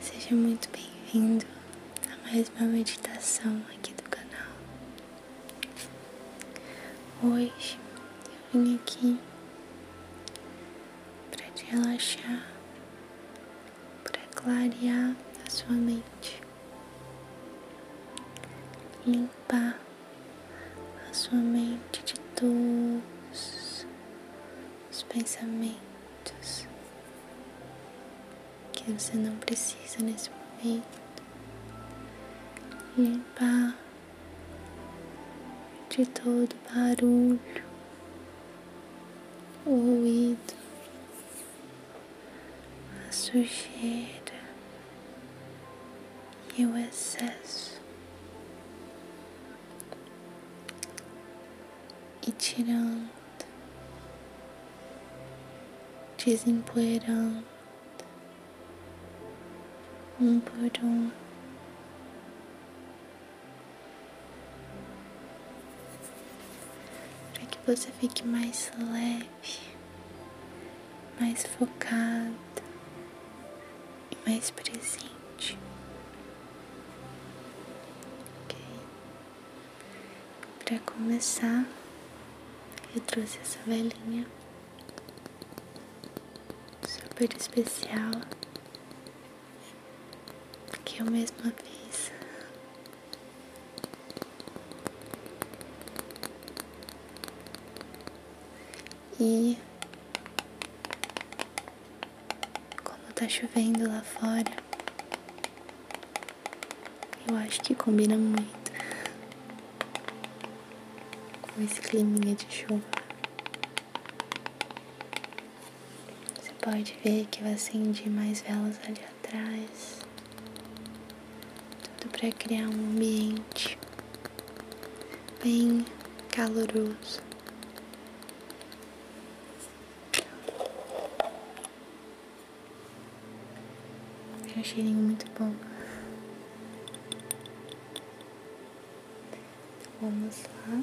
Seja muito bem-vindo a mais uma meditação aqui do canal. Hoje eu vim aqui para te relaxar, para clarear a sua mente, limpar a sua mente de todos os pensamentos que você não precisa nesse momento. Limpar de todo barulho, o ruído, sujeira e o excesso. E tirando desempoeirando um por um. Para que você fique mais leve, mais focado e mais presente. ok para começar, eu trouxe essa velhinha super especial que eu mesma fiz. E como tá chovendo lá fora, eu acho que combina muito com esse climinha de chuva. Você pode ver que eu acendi mais velas ali atrás, tudo para criar um ambiente bem caloroso. É um cheirinho muito bom. Então, vamos lá.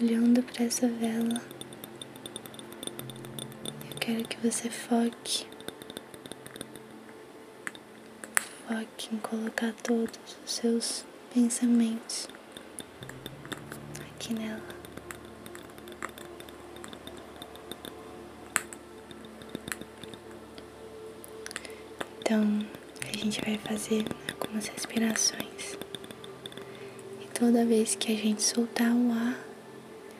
olhando para essa vela, eu quero que você foque, foque em colocar todos os seus pensamentos aqui nela. Então, a gente vai fazer algumas respirações. E toda vez que a gente soltar o ar,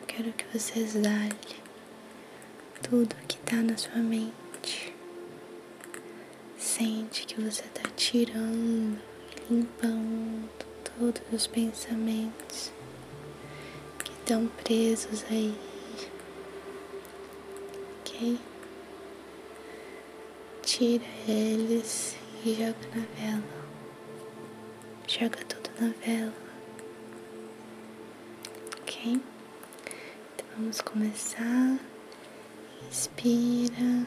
eu quero que você exale tudo que está na sua mente. Sente que você está tirando, limpando todos os pensamentos que estão presos aí. Ok? tira eles e joga na vela. Joga tudo na vela. Ok? Então vamos começar. Inspira.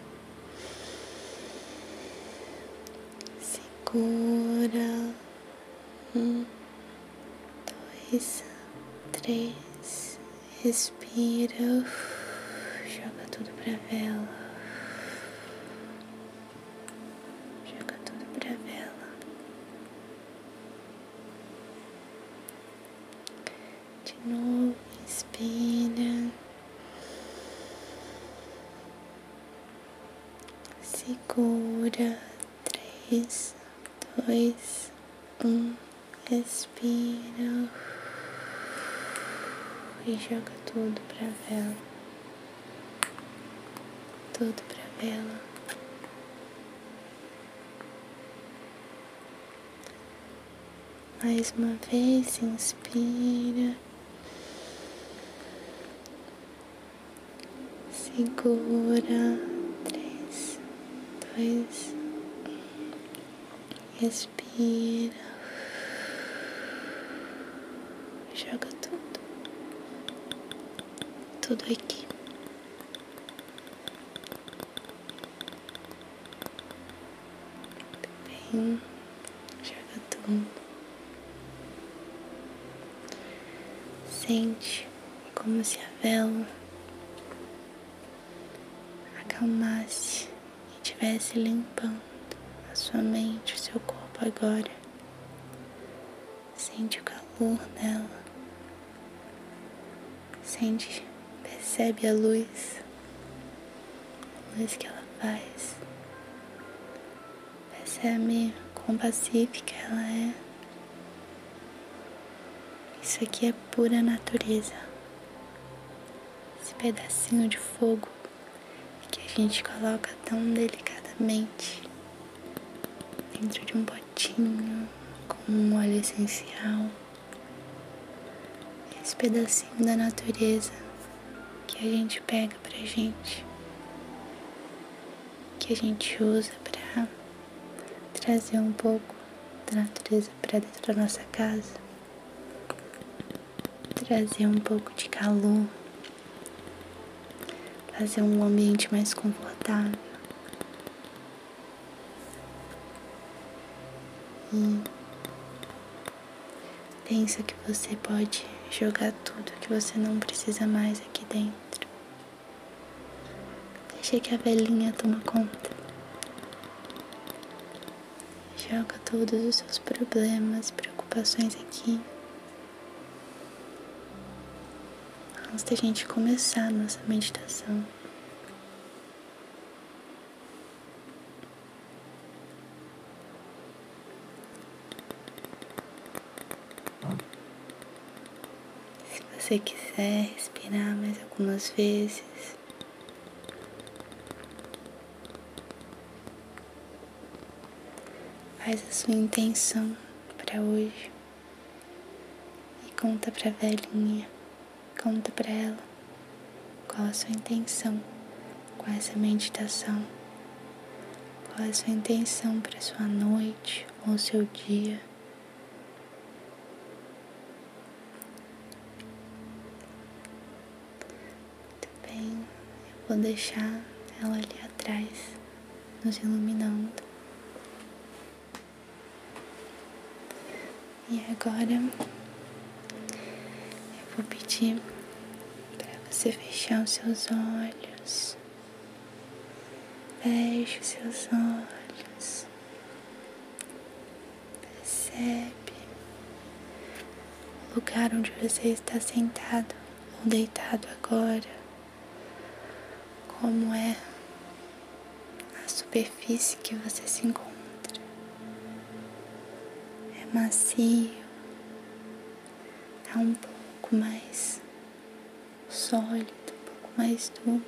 Segura. Um, dois, três, respira, joga tudo pra vela, joga tudo pra vela. De novo, inspira, segura, três, dois, um, expira. Inspira e joga tudo para a vela, tudo para a vela. Mais uma vez, inspira, segura, três, dois, Respira. Joga tudo. Tudo aqui. Bem, joga tudo. Sente como se a vela acalmasse estivesse limpando a sua mente, o seu corpo agora. Sente o calor nela Sente, percebe a luz, a luz que ela faz. Percebe quão pacífica ela é. Isso aqui é pura natureza esse pedacinho de fogo que a gente coloca tão delicadamente dentro de um potinho com um óleo essencial. Esse pedacinho da natureza que a gente pega pra gente, que a gente usa pra trazer um pouco da natureza pra dentro da nossa casa trazer um pouco de calor, fazer um ambiente mais confortável. E pensa que você pode jogar tudo que você não precisa mais aqui dentro. Deixa que a velhinha tome conta. Joga todos os seus problemas, preocupações aqui. Antes da gente começar nossa meditação. Se você quiser respirar mais algumas vezes, Faz a sua intenção para hoje e conta para a velhinha, conta para ela qual a sua intenção com essa meditação, qual a sua intenção para sua noite ou seu dia. Muito bem, eu vou deixar ela ali atrás, nos iluminando. E agora eu vou pedir para você fechar os seus olhos. Feche os seus olhos. Percebe o lugar onde você está sentado ou deitado agora, como é a superfície que você se encontra. É macio, é um pouco mais sólido, um pouco mais duro.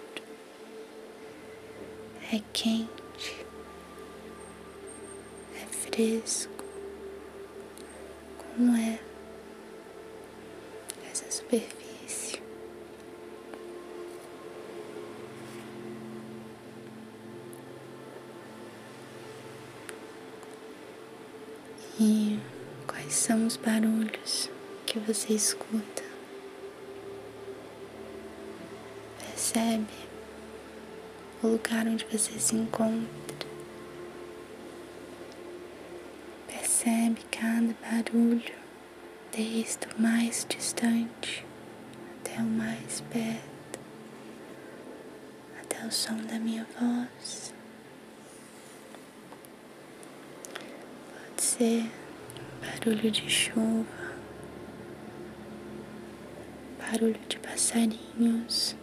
É quente, é fresco, como é essa superfície. E quais são os barulhos que você escuta? Percebe o lugar onde você se encontra. Percebe cada barulho, desde o mais distante até o mais perto, até o som da minha voz. Pode ser barulho de chuva, barulho de passarinhos,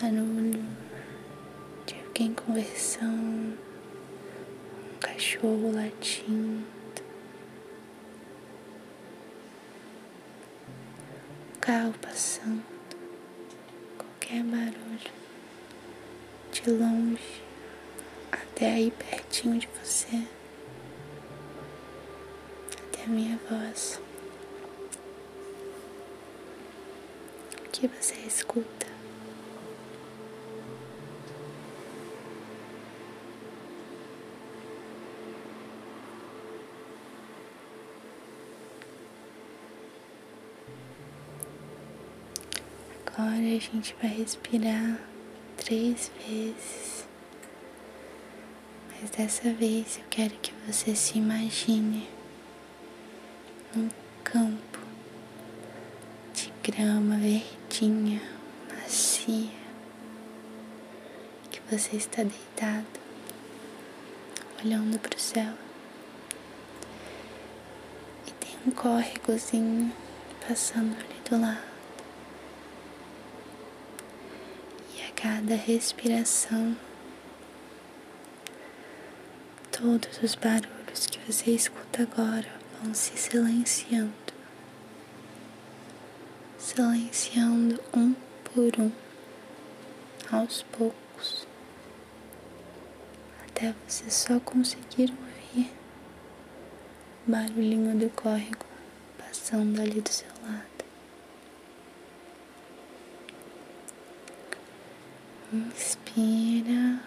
barulho de quem conversando, um cachorro latindo, um carro passando, qualquer barulho de longe até aí pertinho de você até minha voz. que você escuta? Agora a gente vai respirar três vezes. Mas dessa vez eu quero que você se imagine num campo de grama verdinha, macia, que você está deitado, olhando para o céu. E tem um córregozinho passando ali do lado. E a cada respiração, todos os barulhos que você escuta agora vão se silenciando, silenciando um por um, aos poucos, até você só conseguir ouvir barulhinho do córrego passando ali do seu lado. Inspira.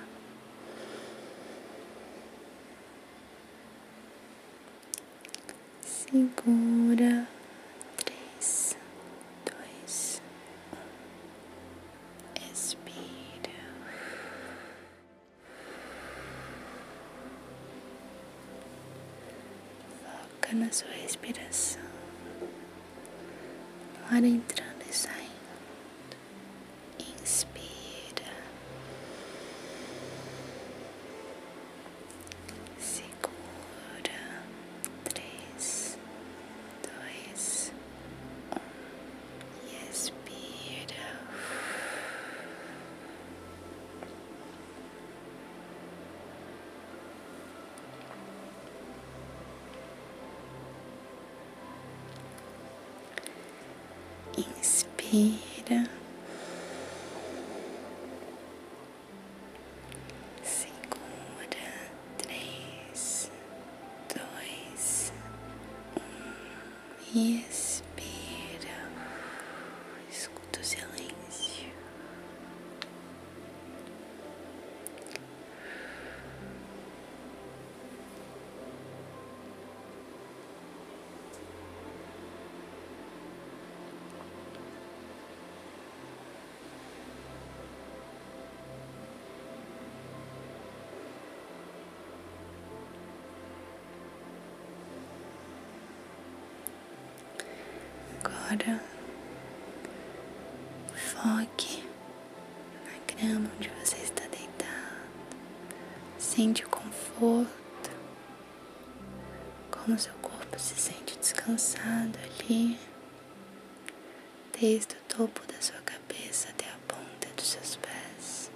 Segura. Três, dois, um. Expira. Foca na sua respiração, no entrando e saindo. Inspira, segura. Três, dois, um, e expira. Inspira. Segura. Três, dois, um. Expira, escuta o silêncio. Agora foque na grama onde você está deitado. Sente o conforto, como seu corpo se sente descansado ali, desde o topo da sua cabeça até a ponta dos seus pés.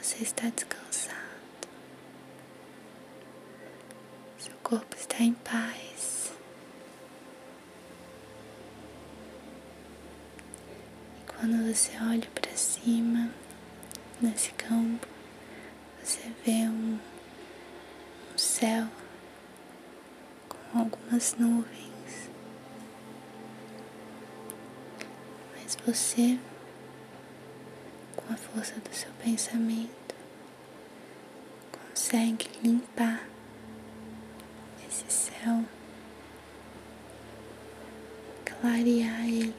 Você está descansado. Seu corpo está em paz. E quando você olha para cima, nesse campo, você vê um, céu com algumas nuvens mas você, com a força do seu pensamento, consegue limpar esse céu, clarear ele.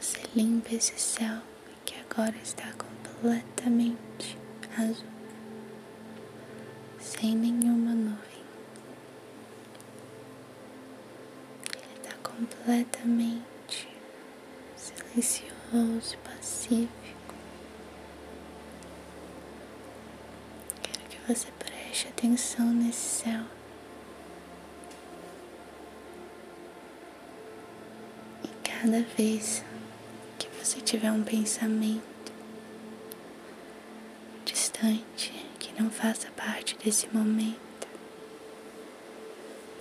Você limpa esse céu que agora está completamente azul, sem nenhuma nuvem. Ele está completamente silencioso, pacífico. Quero que você preste atenção nesse céu. E cada vez que você tiver um pensamento distante, que não faça parte desse momento.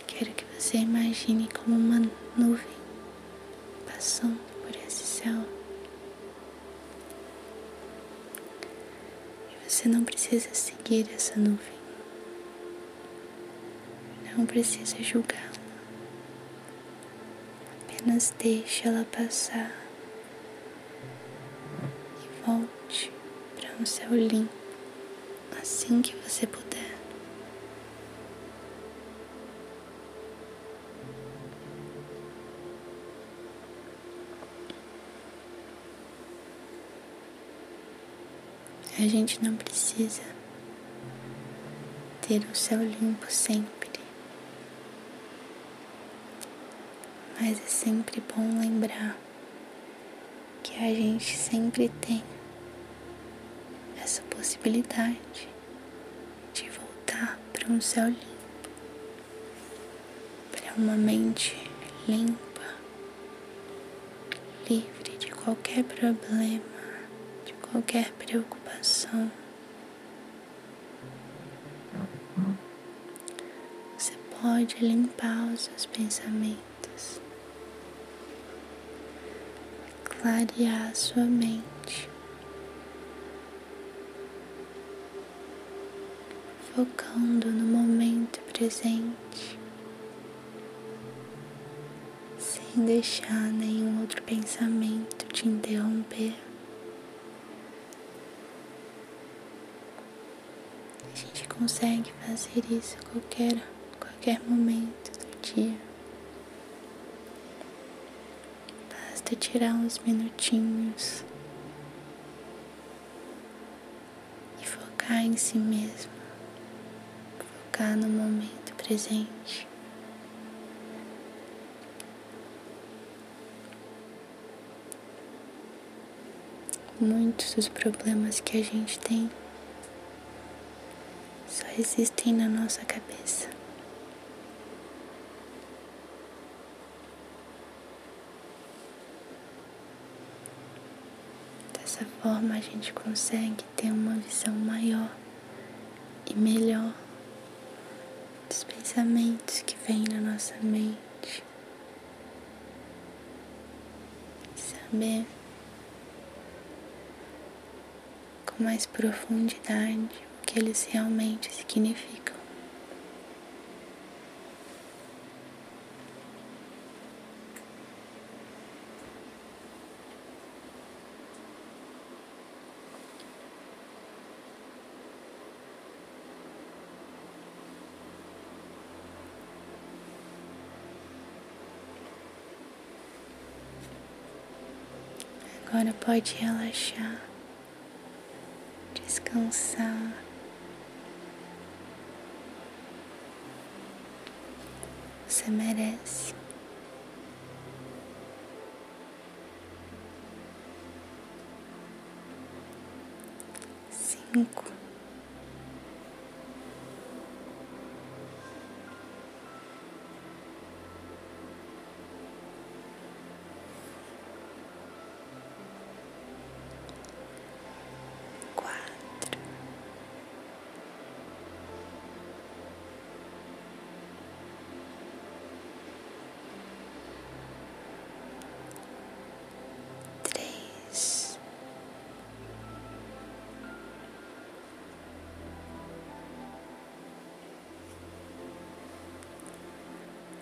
Quero que você imagine como uma nuvem passando por esse céu. E você não precisa seguir essa nuvem. Não precisa julgá-la. Apenas deixe ela passar e volte para um céu limpo assim que você puder. A gente não precisa ter o céu limpo sempre. Mas é sempre bom lembrar que a gente sempre tem essa possibilidade de voltar para um céu limpo, para uma mente limpa, livre de qualquer problema, de qualquer preocupação. Você pode limpar os seus pensamentos, clarear sua mente, focando no momento presente, sem deixar nenhum outro pensamento te interromper a gente consegue fazer isso a qualquer, qualquer momento do dia. Basta tirar uns minutinhos e focar em si mesmo, focar no momento presente. Muitos dos problemas que a gente tem só existem na nossa cabeça. Dessa forma a gente consegue ter uma visão maior e melhor dos pensamentos que vêm na nossa mente. Saber com mais profundidade o que eles realmente significam. Agora pode relaxar, descansar. Você merece cinco, quatro, três,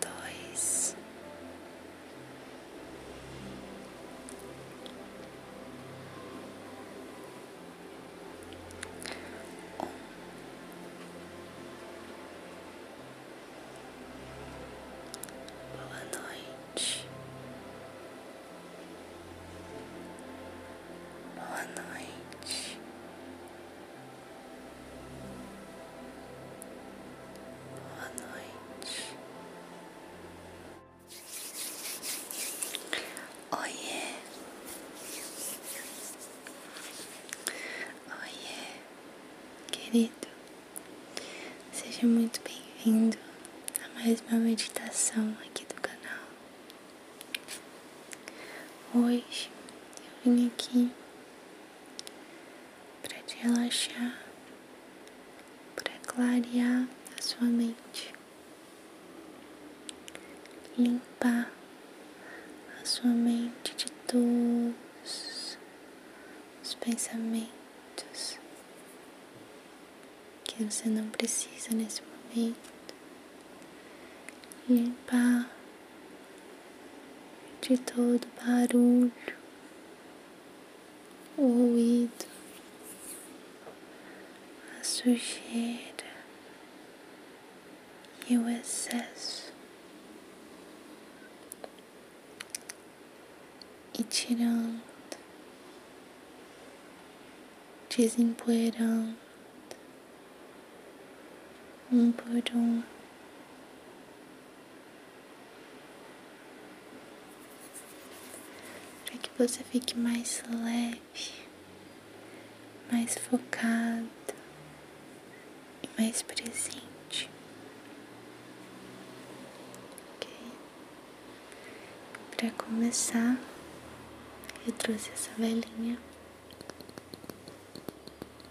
dois, um. Boa noite. Boa noite. Boa noite. Oiê. Oiê, querido, seja muito bem-vindo a mais uma meditação aqui do canal. Hoje eu vim aqui para te relaxar, para clarear a sua mente, e limpar a sua mente de todos os pensamentos que você não precisa nesse momento, limpar de todo barulho, o ruído, a sujeira e o excesso, e tirando, desempoeirando um por um. para que você fique mais leve mais focado e mais presente. Ok? Para começar, eu trouxe essa velhinha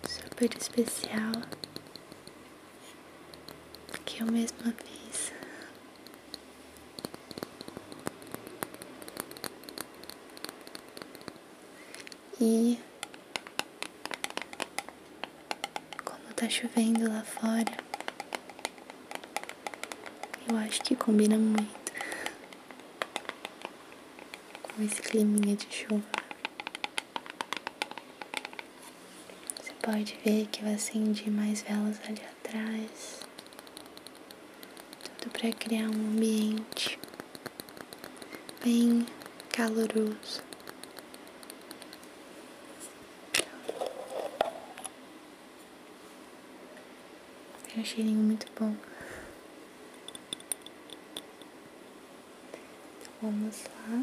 super especial que eu mesma fiz. E como tá chovendo lá fora, eu acho que combina muito com esse climinha de chuva. Você pode ver que eu acendi mais velas ali atrás. Tudo para criar um ambiente bem caloroso. é um cheirinho muito bom. Então, vamos lá.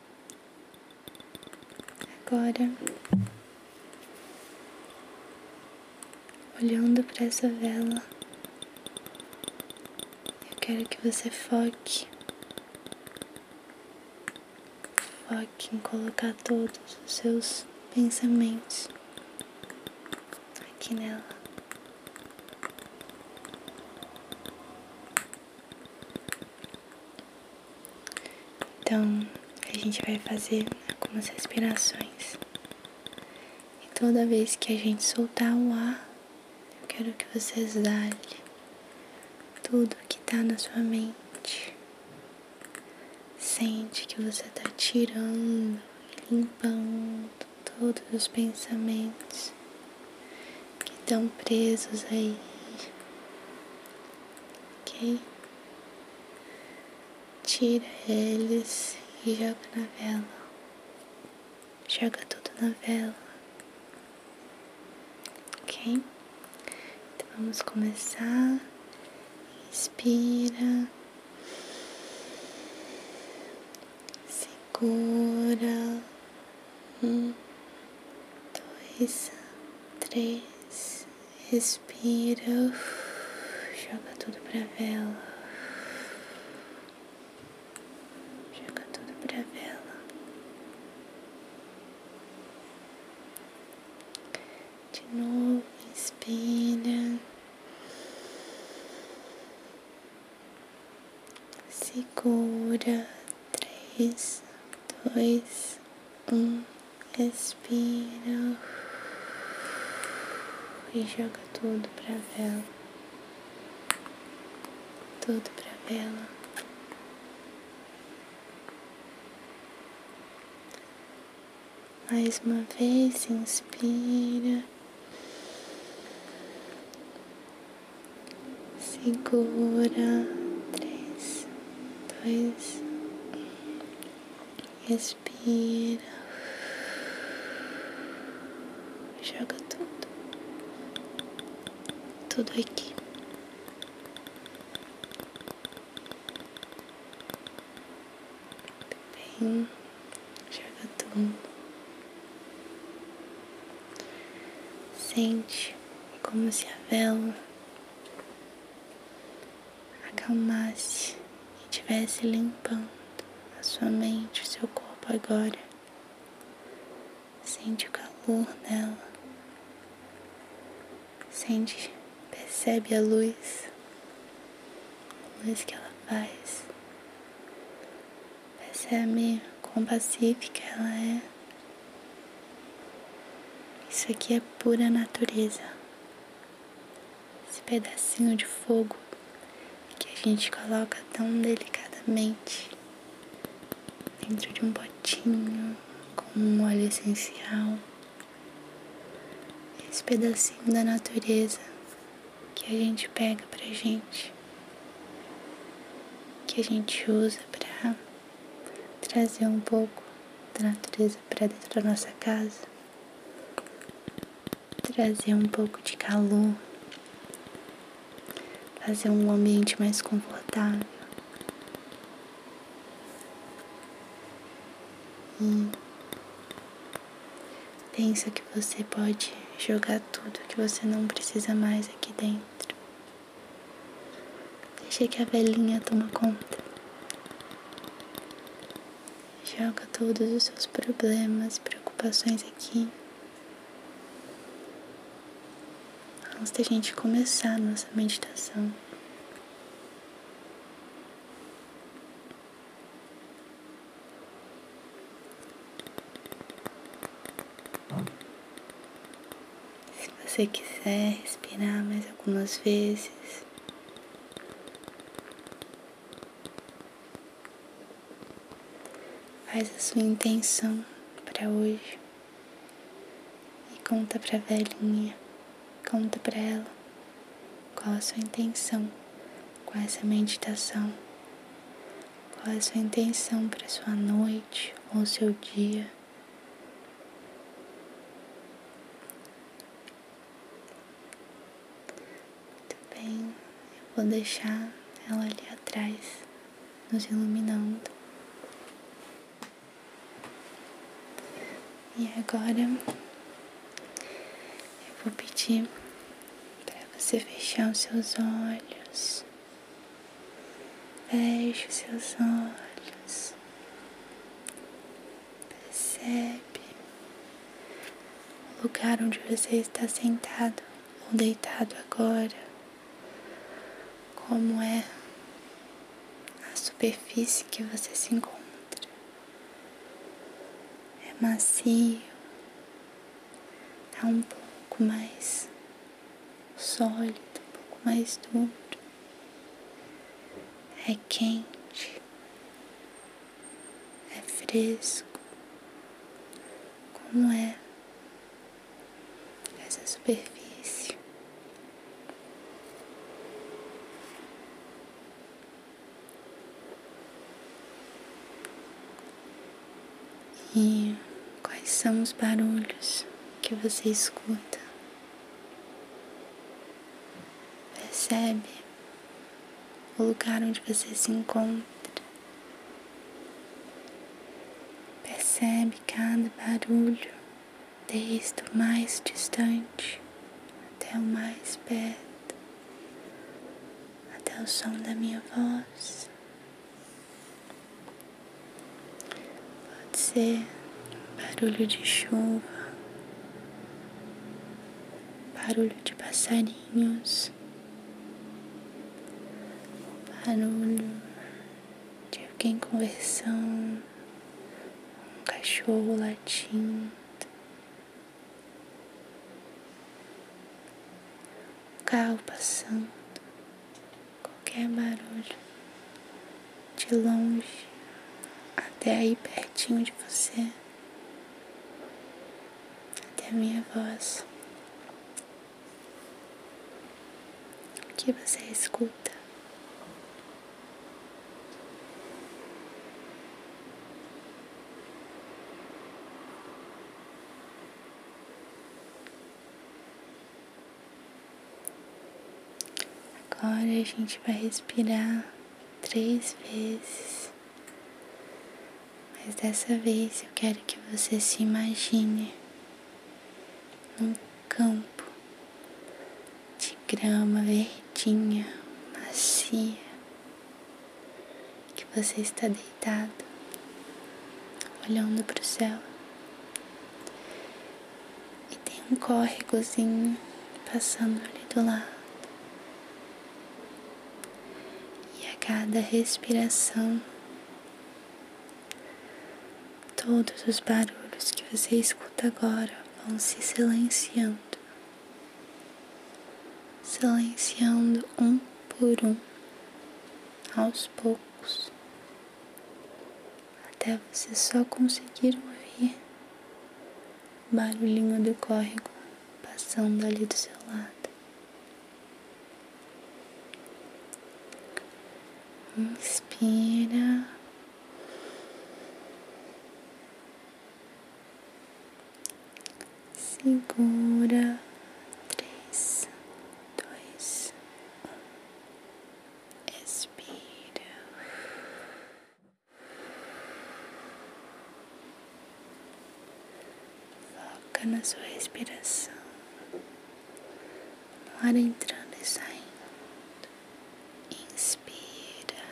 Agora, olhando para essa vela, eu quero que você foque, foque em colocar todos os seus pensamentos aqui nela. Então, a gente vai fazer algumas respirações. E toda vez que a gente soltar o ar, eu quero que você exale tudo que tá na sua mente. Sente que você tá tirando, limpando todos os pensamentos que estão presos aí, ok? Tira eles e joga na vela, joga tudo na vela, ok? Então vamos começar. Inspira. segura um, dois, três, respira, joga tudo pra vela, joga tudo pra vela, de novo, inspira, segura três, dois, um, expira e joga tudo pra vela, tudo pra vela. Mais uma vez, inspira segura, três, dois, respira joga tudo, tudo aqui. Bem, joga tudo. Sente como se a vela acalmasse e estivesse limpando a sua mente, o seu corpo agora. Sente o calor dela, sente, percebe a luz, a luz que ela faz, percebe quão pacífica ela é isso aqui é pura natureza. Esse pedacinho de fogo que a gente coloca tão delicadamente dentro de um potinho com um óleo essencial. Esse pedacinho da natureza que a gente pega pra gente, que a gente usa pra trazer um pouco da natureza para dentro da nossa casa, trazer um pouco de calor, fazer um ambiente mais confortável. E pensa que você pode jogar tudo que você não precisa mais aqui dentro. Deixa que a velhinha tome conta. Joga todos os seus problemas, preocupações aqui. Antes da gente começar nossa meditação. Se você quiser respirar mais algumas vezes, faz a sua intenção para hoje e conta para a velhinha, conta para ela qual a sua intenção com essa meditação, qual a sua intenção para sua noite ou seu dia. Muito bem, eu vou deixar ela ali atrás, nos iluminando. E agora eu vou pedir para você fechar os seus olhos. Feche seus olhos, percebe o lugar onde você está sentado ou deitado agora, como é a superfície que você se encontra. É macio, tá um pouco mais sólido, um pouco mais duro, é quente, é fresco, como é essa superfície e quais são os barulhos que você escuta. Percebe o lugar onde você se encontra. Percebe cada barulho, desde o mais distante até o mais perto, até o som da minha voz Pode ser barulho de chuva, barulho de passarinhos, barulho de alguém conversando, um cachorro latindo. carro passando qualquer barulho, de longe até aí pertinho de você, até minha voz. que você escuta? Agora a gente vai respirar três vezes, mas dessa vez eu quero que você se imagine num campo de grama verdinha, macia, que você está deitado, olhando para o céu. E tem um córregozinho passando ali do lado. E a cada respiração, todos os barulhos que você escuta agora vão se silenciando silenciando um por um, aos poucos até você só conseguir ouvir barulhinho do córrego passando ali do seu lado. Inspira. Segura. Três, dois, um expira. Foca na sua respiração, no entrando e saindo. Inspira,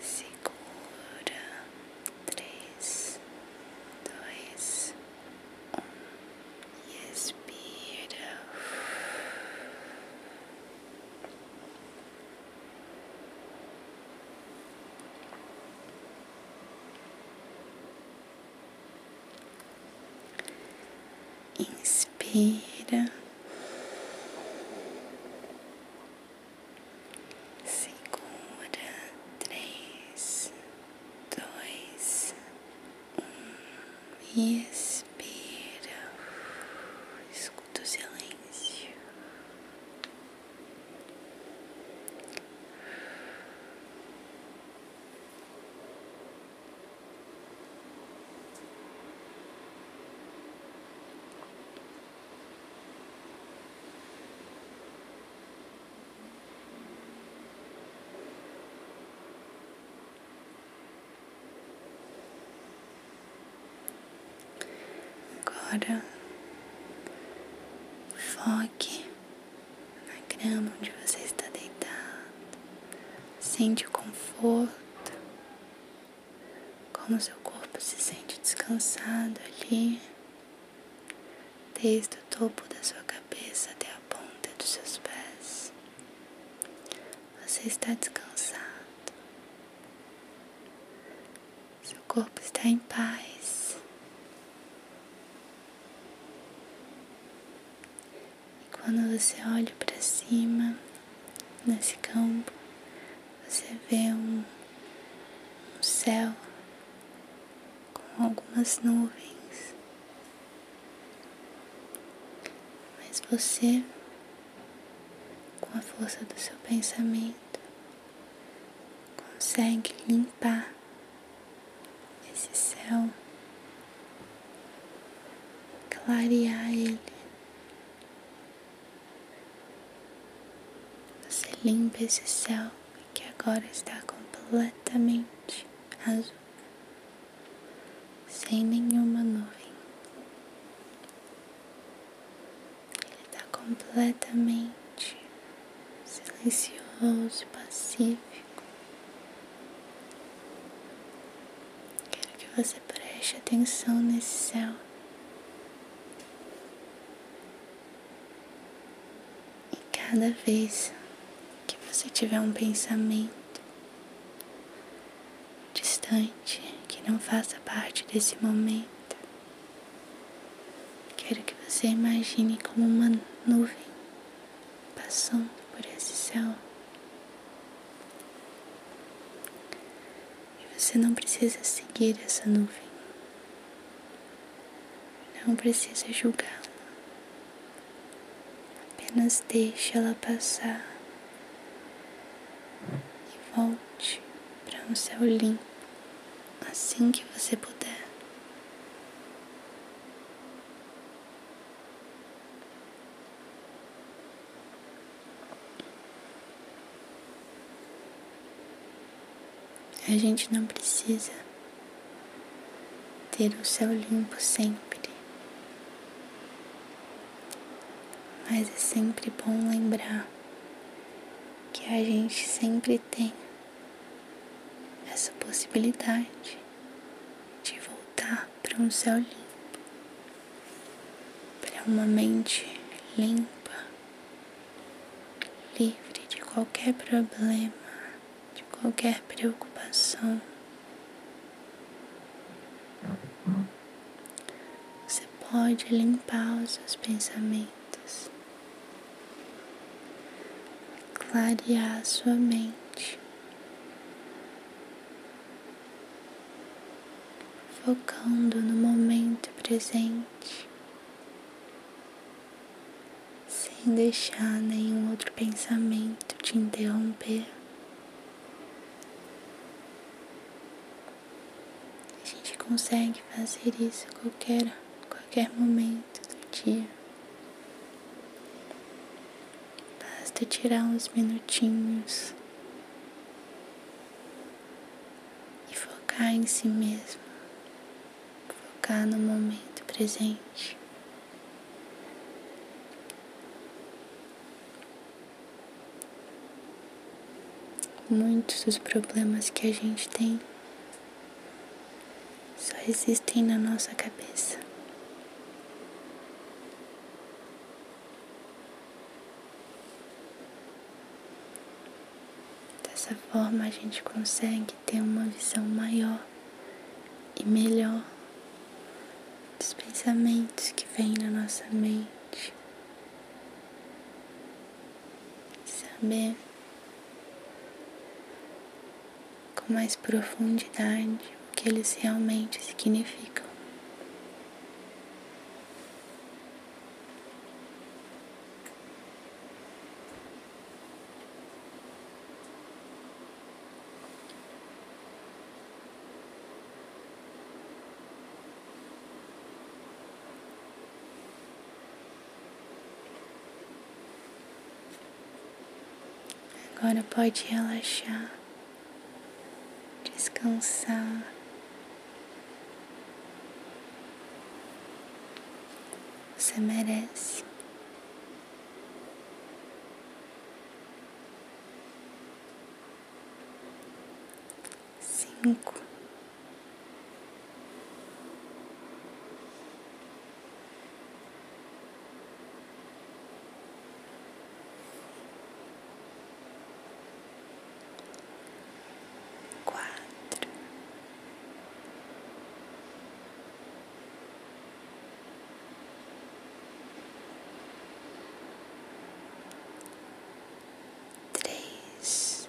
segura três, dois, um e expira. Inspira segura três, dois, um, e expira, escuta o silêncio. Agora foque na grama onde você está deitado. Sente o conforto, como seu corpo se sente descansado ali desde o topo da sua cabeça até a ponta dos seus pés. Você está descansado, seu corpo está em paz. E quando você olha para cima, nesse campo, você vê um, céu com algumas nuvens, mas você, com a força do seu pensamento, consegue limpar esse céu, clarear ele. Você limpa esse céu que agora está completamente azul, sem nenhuma nuvem. Ele está completamente silencioso, pacífico. Quero que você preste atenção nesse céu. E cada vez que você tiver um pensamento distante que não faça parte desse momento, quero que você imagine como uma nuvem passando por esse céu. E você não precisa seguir essa nuvem. Não precisa julgá-la. Apenas deixe ela passar e volte para um céu limpo assim que você puder. A gente não precisa ter o céu limpo sempre, mas é sempre bom lembrar que a gente sempre tem essa possibilidade de voltar para um céu limpo, para uma mente limpa livre de qualquer problema, de qualquer preocupação. Você pode limpar os seus pensamentos, clarear sua mente, focando no momento presente sem deixar nenhum outro pensamento te interromper. A gente consegue fazer isso em qualquer, qualquer momento do dia. Basta tirar uns minutinhos e focar em si mesmo focar no momento presente. Muitos dos problemas que a gente tem só existem na nossa cabeça. Dessa forma a gente consegue ter uma visão maior e melhor dos pensamentos que vêm na nossa mente. Saber com mais profundidade o que eles realmente significam. Agora pode relaxar, descansar. Você merece. Cinco. Quatro três, dois,